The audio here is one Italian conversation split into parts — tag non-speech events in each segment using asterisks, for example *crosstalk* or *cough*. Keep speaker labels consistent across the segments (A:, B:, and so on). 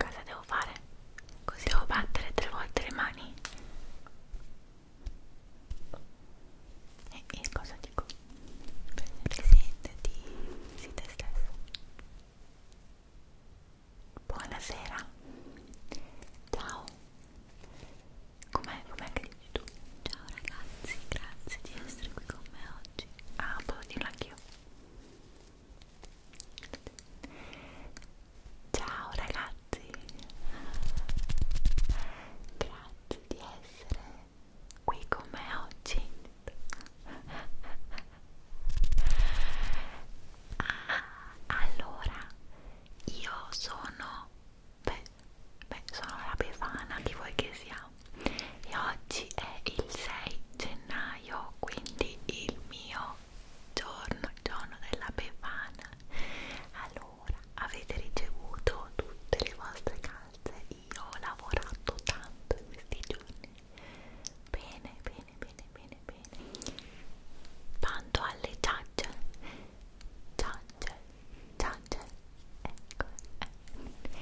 A: Cosa devo fare? Così devo battere tre volte le mani? E, e cosa dico? Presentati, si te stesso. Buonasera. Ciao. Com'è com'è che dici tu? Ciao ragazzi, grazie di essere qui con me oggi. Ah, posso dirlo anch'io. Ciao ragazzi, grazie di essere qui con me oggi. Ah, allora, io sono, beh, beh, sono la Befana, chi vuoi che sia? E oggi è il 6 gennaio, quindi il mio giorno, giorno della Befana. Allora, ora avete ricevuto tutte le vostre calze io ho lavorato tanto in questi giorni bene bene bene bene bene tanto alle ciacce ciacce ciacce ecco eh.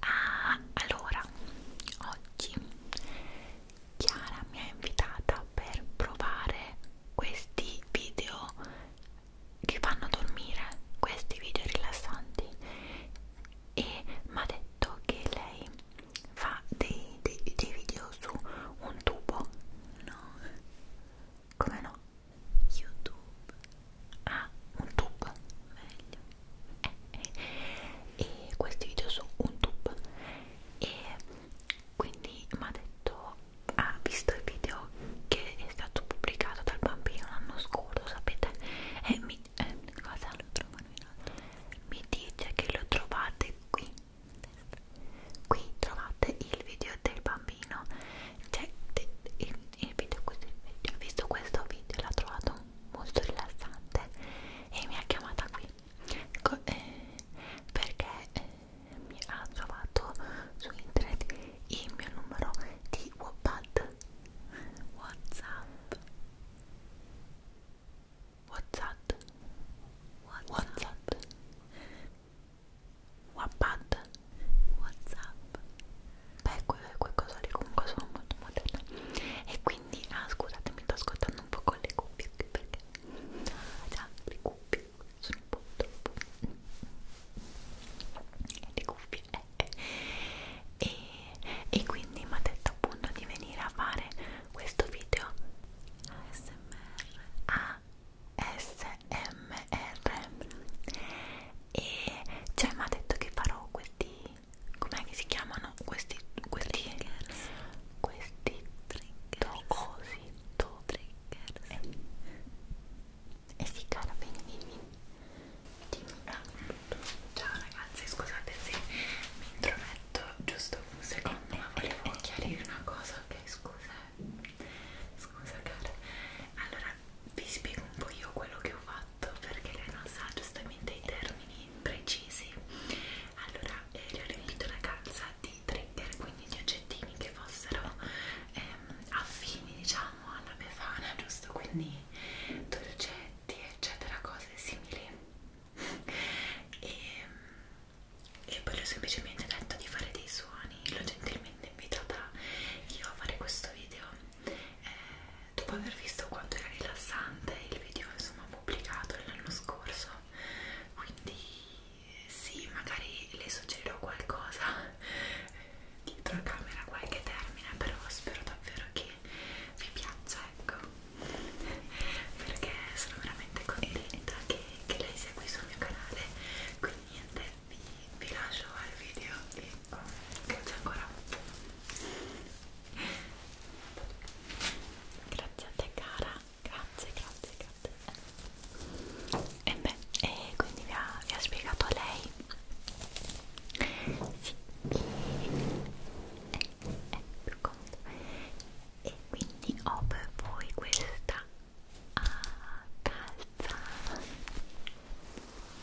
A: ah, allora oggi Chiara mi ha invitata per provare questi video che fanno dormire, questi video rilassanti e mi ha detto che lei fa dei, dei, dei video su un tubo no come no? youtube ah un tubo meglio eh, eh. e questi video su un tubo e quindi mi ha detto ha ah, visto il video che è stato pubblicato dal bambino l'anno scorso sapete e mi, eh, cosa lo trovano in alto mi dice che lo trovate qui qui trovate il video del bambino cioè de, il, il video questo video ho visto questo video l'ha trovato molto rilassante e mi ha chiamata qui Co eh, perché eh, mi ha trovato su internet il mio numero di Wattpad Whatsapp Whatsapp Whatsapp Wattpad Whatsapp beh quella è qualcosa di comunque sono molto moderna e quindi ah scusate mi sto ascoltando un po' con le cuffie perché ah già le cuffie sono un po' troppo di cuffie eh. e, e quindi mi ha detto appunto di venire a fare questo video ASMR ASMR e cioè mi ha detto che farò questi com'è che si chiamano questi questi triggers questi triggers tocosi to Soul Triggers eh. e si cara bene dimmi dimmi ciao ragazzi scusate se mi intrometto giusto un secondo ma volevo eh, eh, eh. chiarire una cosa ok scusa scusa cara allora vi spiego un po' io quello che ho fatto perché lei non sa giustamente i termini precisi allora eh, le ho riempito la calza di trigger, quindi di oggettini che fossero ehm, affini diciamo alla befana, giusto? Quindi dolcetti, eccetera, cose simili. *laughs* e, e poi le ho semplicemente detto di fare dei suoni, l'ho gentilmente invitata io a fare questo video eh, dopo aver visto quanto era rilassante il video insomma pubblicato l'anno scorso quindi sì, magari le suggerirò qualcosa *laughs* dietro a camera, qualche termine, però spero davvero che vi piaccia, ecco, perché sono veramente contenta che, che lei sia qui sul mio canale, quindi niente, vi, vi lascio al video e oh, grazie ancora. Grazie a te cara Grazie, grazie, grazie. E beh, e quindi vi ha, vi ha spiegato a lei. Sì. È, è più comodo. Ecco. E quindi ho per voi questa ah, calza.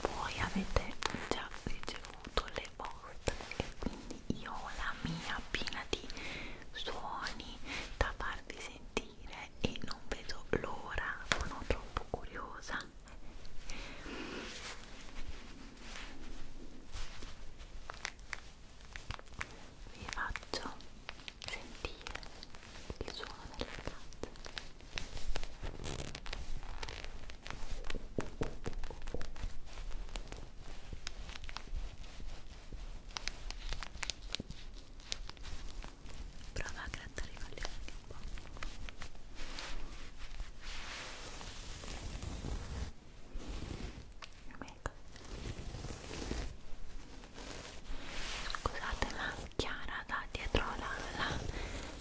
A: Voi avete già ricevuto le vostre e quindi io ho la mia piena di suoni da farvi sentire e non vedo l'ora, sono troppo curiosa. Vi faccio sentire il suono delle piante prova a grattare i coglioni anche un po' scusate ma Chiara da dietro la, la,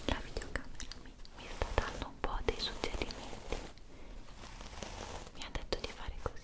A: la videocamera mi, mi sta dando un po' dei suggerimenti mi ha detto di fare così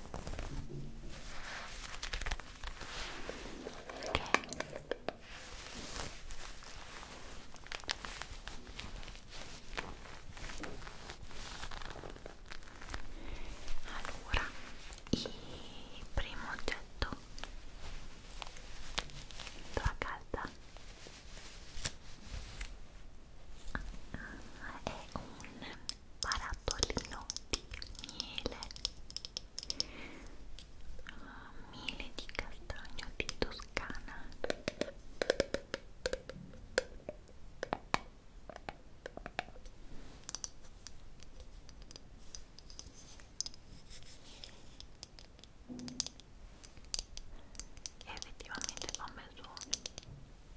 A: Allora, il primo oggetto della casa ah, è un barattolino di miele uh, miele di castagno di Toscana e effettivamente fa un bel suono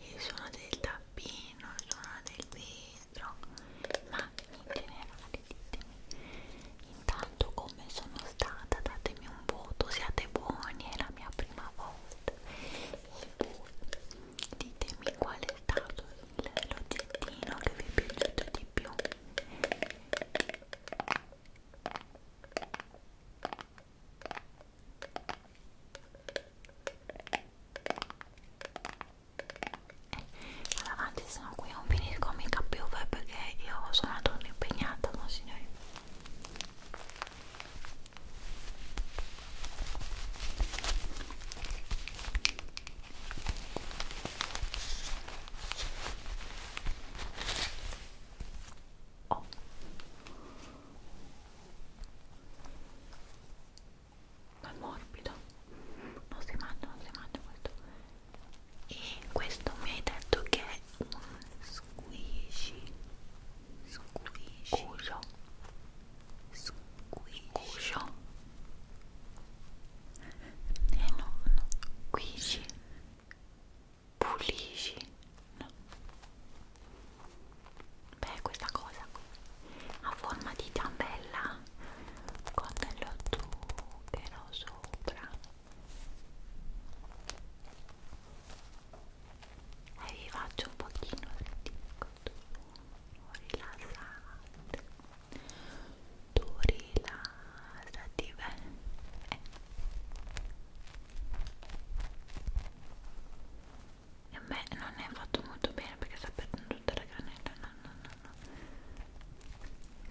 A: il suono del tappino, il suono del vetro, ma in generale ditemi intanto come sono stata, datemi un voto, siate buoni, è la mia prima volta e poi ditemi qual è stato l'oggettino che vi è piaciuto di più vado avanti sennò qui non finisco mica più eh, perché io sono una donna impegnata no signori Oh è morbido non si mangia non si mangia molto e questo mi hai detto che è un squishy squishy squishy eh no no squishy pulisci no beh questa cosa a forma di ciambella con dello zucchero sopra e vi faccio un pochino di rilassante tu rilassati bene eh e a me non è fatto molto bene perché sta perdendo tutta la granella no no no no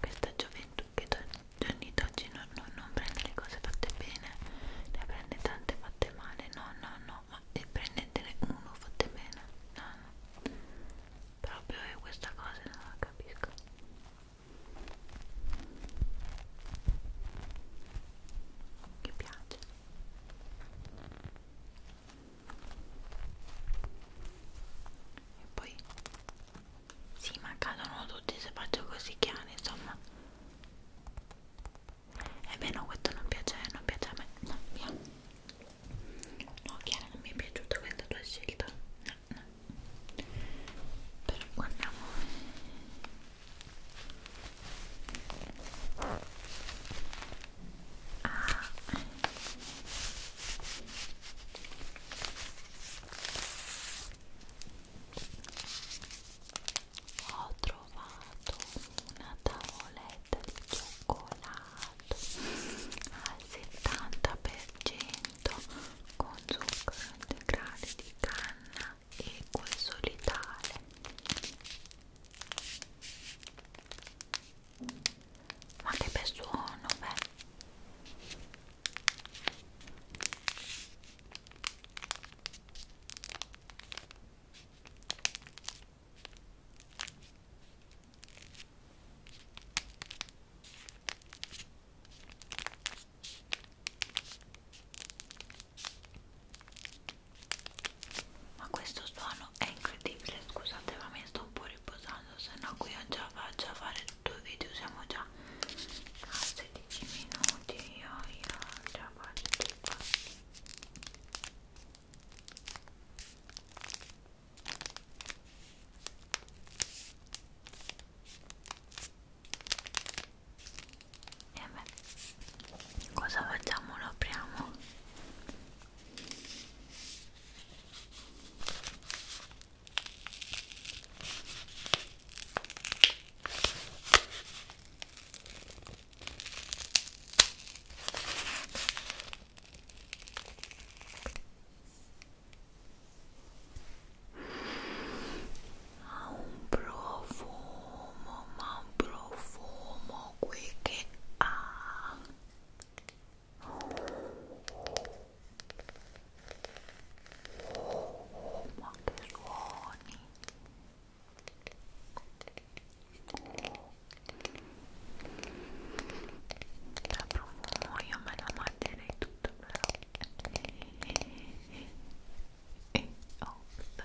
A: questa gioventù che Johnny oggi no, no, non prende le cose fatte bene ne prende tante fatte male no no no ma e prendetene uno fatte bene no no proprio io questa cosa non la capisco che piace e poi si sì, ma cadono tutti se faccio così chiaro insomma e beh no questo non piace non piace a me no via no chiaro non mi è piaciuta questa tua scelta no no però guardiamo Ah. Ho trovato una tavoletta di cioccolato al 70% con zucchero integrale di canna e quel solitale ma che bel suono, beh ma questo suono è incredibile scusate ma mi sto un po' riposando se no qui ho già faccio a fare due video siamo già a 16 minuti io, io già faccio tutto e beh, cosa facciamo? Lo apriamo? Ha un profumo, ma un profumo qui che ha oh, ma che suoni da profumo io me la mangerei tutto però e oh, beh.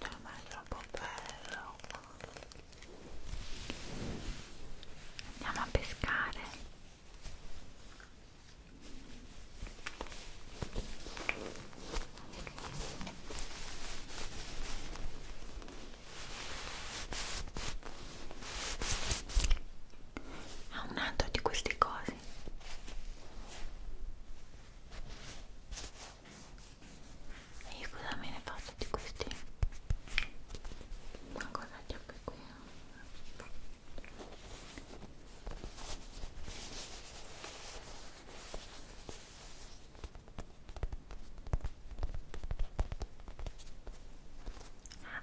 A: no ma è troppo bello andiamo a pescare ha ah, un altro di queste cose e io cosa me ne faccio di questi? una cosa c'è qui ah,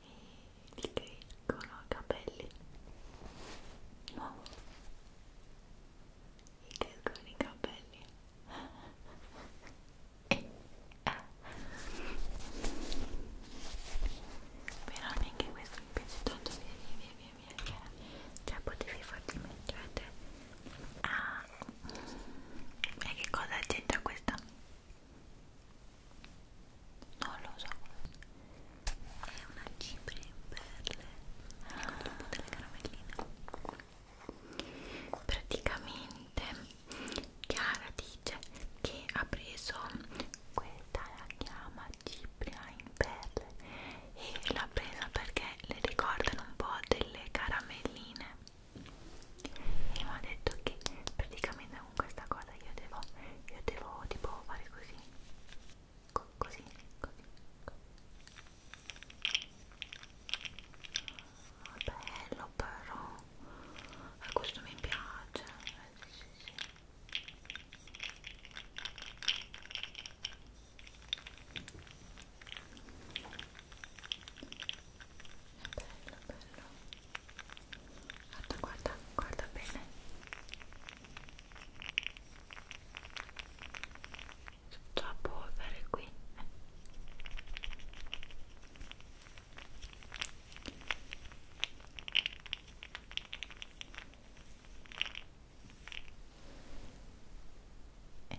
A: e ti crescono capelli nuovo ti crescono i capelli e, ah. *laughs* Eh. però neanche questo mi piace tanto via via via via via cioè potevi farti mettere ah e che cosa c'entra questa? Non lo so. È una cipria in perle con dopo delle caramelline. Praticamente Chiara dice che ha preso questa la chiama cipria in perle e l'ho presa perché le ricordano un po' delle caramelline e mi ha detto che praticamente con questa cosa io devo, io devo tipo fare così Co così, così, così bello però a questo mi piace eh, sì, sì, sì bello guarda guarda guarda bene tutto a polvere qui eh. Eh.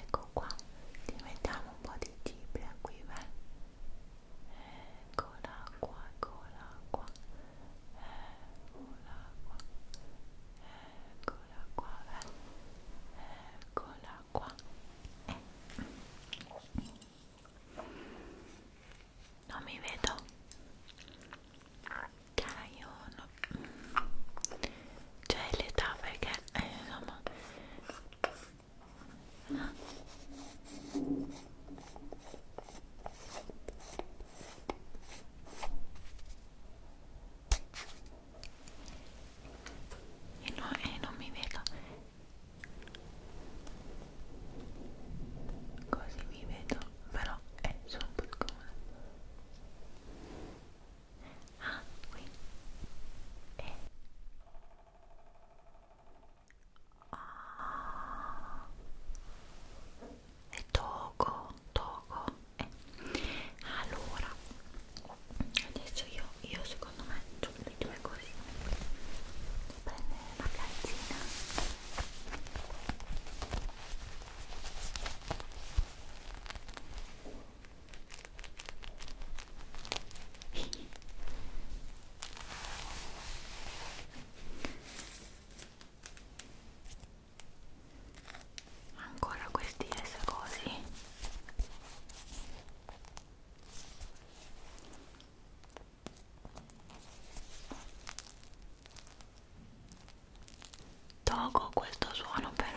A: Ecco qua, ti mettiamo un po' di cipria qui, beh. Eccola qua, eccola qua, eccola qua, Eccola qua, eccola qua. Eh. Non mi vedo. Dai, io no. Cioè l'età perché eh, insomma. Ah e, no, e eh, non mi vedo così mi vedo però è eh, sono un po' scomoda ah qui e eh. oh è Togo, Togo. Eh. Allora, adesso io, io secondo me le due così. Devo prendere la calzina ancora questi eh, S così Togo questo suono però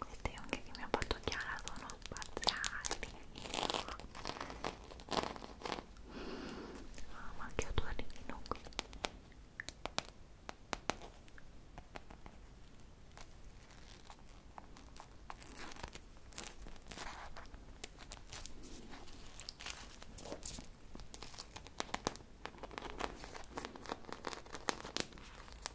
A: queste anche che mi ha fatto Chiara sono spaziali ah ma che odore di qui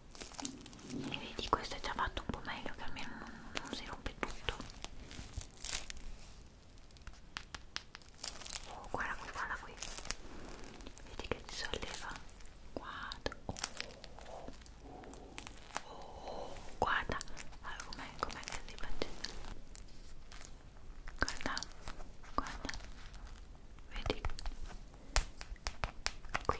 A: e vedi questo è già fatto un po' meglio che almeno non, non si rompe tutto oh guarda qui guarda qui vedi che si solleva guarda oh, oh, guarda allora com'è com'è che si faceva guarda guarda vedi qui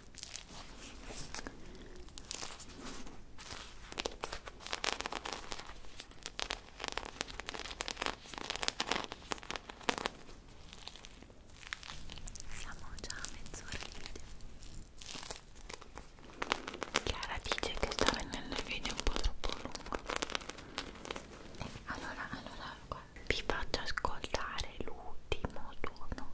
A: Siamo già a mezz'ora di video. Chiara dice che sta venendo il video un po' troppo lungo. E allora, allora, vi faccio ascoltare l'ultimo suono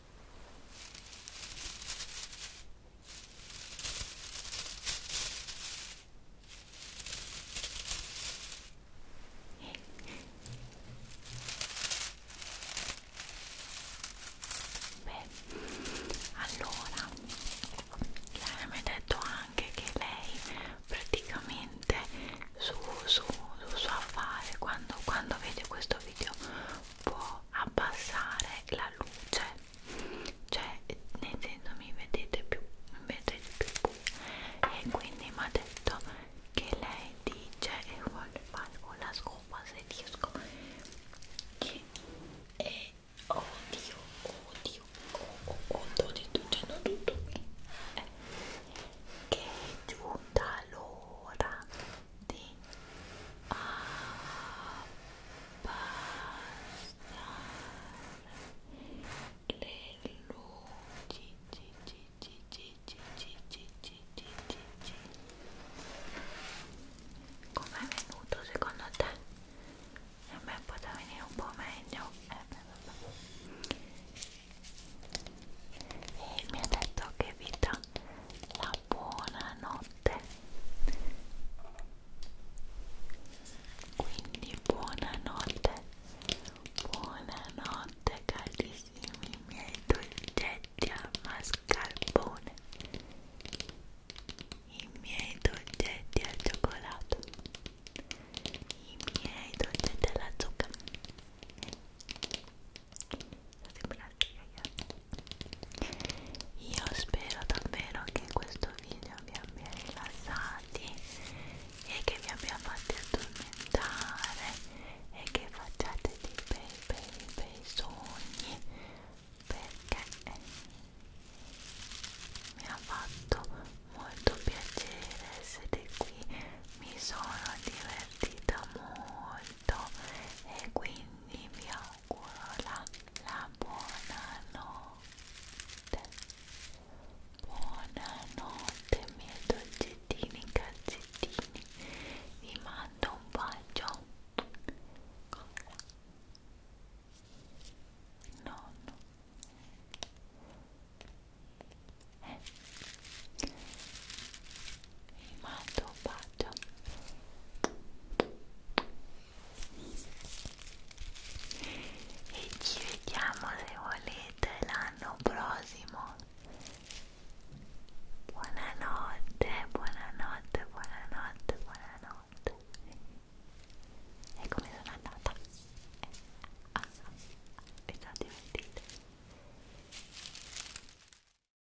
A: Beh, allora mi ha detto anche che lei praticamente su, su, su suo affare quando, quando vede questo video può abbassare la luce cioè nel senso mi vedete più mi vedete più e quindi mi ha detto che lei dice e voglio fare con la scopa se riesco che è odio odio oh, oh, oh, di tutto tutto qui eh, che è giunta l'ora di abbassare le luci come è venuto secondo te? a me poteva venire un po' meglio eh, beh, beh. e mi ha detto che Vita l'ha buonanotte quindi buonanotte buonanotte carissimi miei dolcetti a mascarpone i miei dolcetti al cioccolato i miei dolcetti alla zucca sembra io spero davvero che questo video vi abbia rilassati e che vi abbia fatti addormentare e che facciate dei bei bei bei sogni perché eh, mi ha fatto molto piacere essere qui mi sono divertita molto e quindi vi auguro la, la buona notte buona notte miei dolcettini cazzettini vi mando un bacio nonno eh vi mando un bacio e ci vediamo se volete l'anno prossimo buonanotte buonanotte buonanotte buonanotte e come sono andata ah, vi sono divertite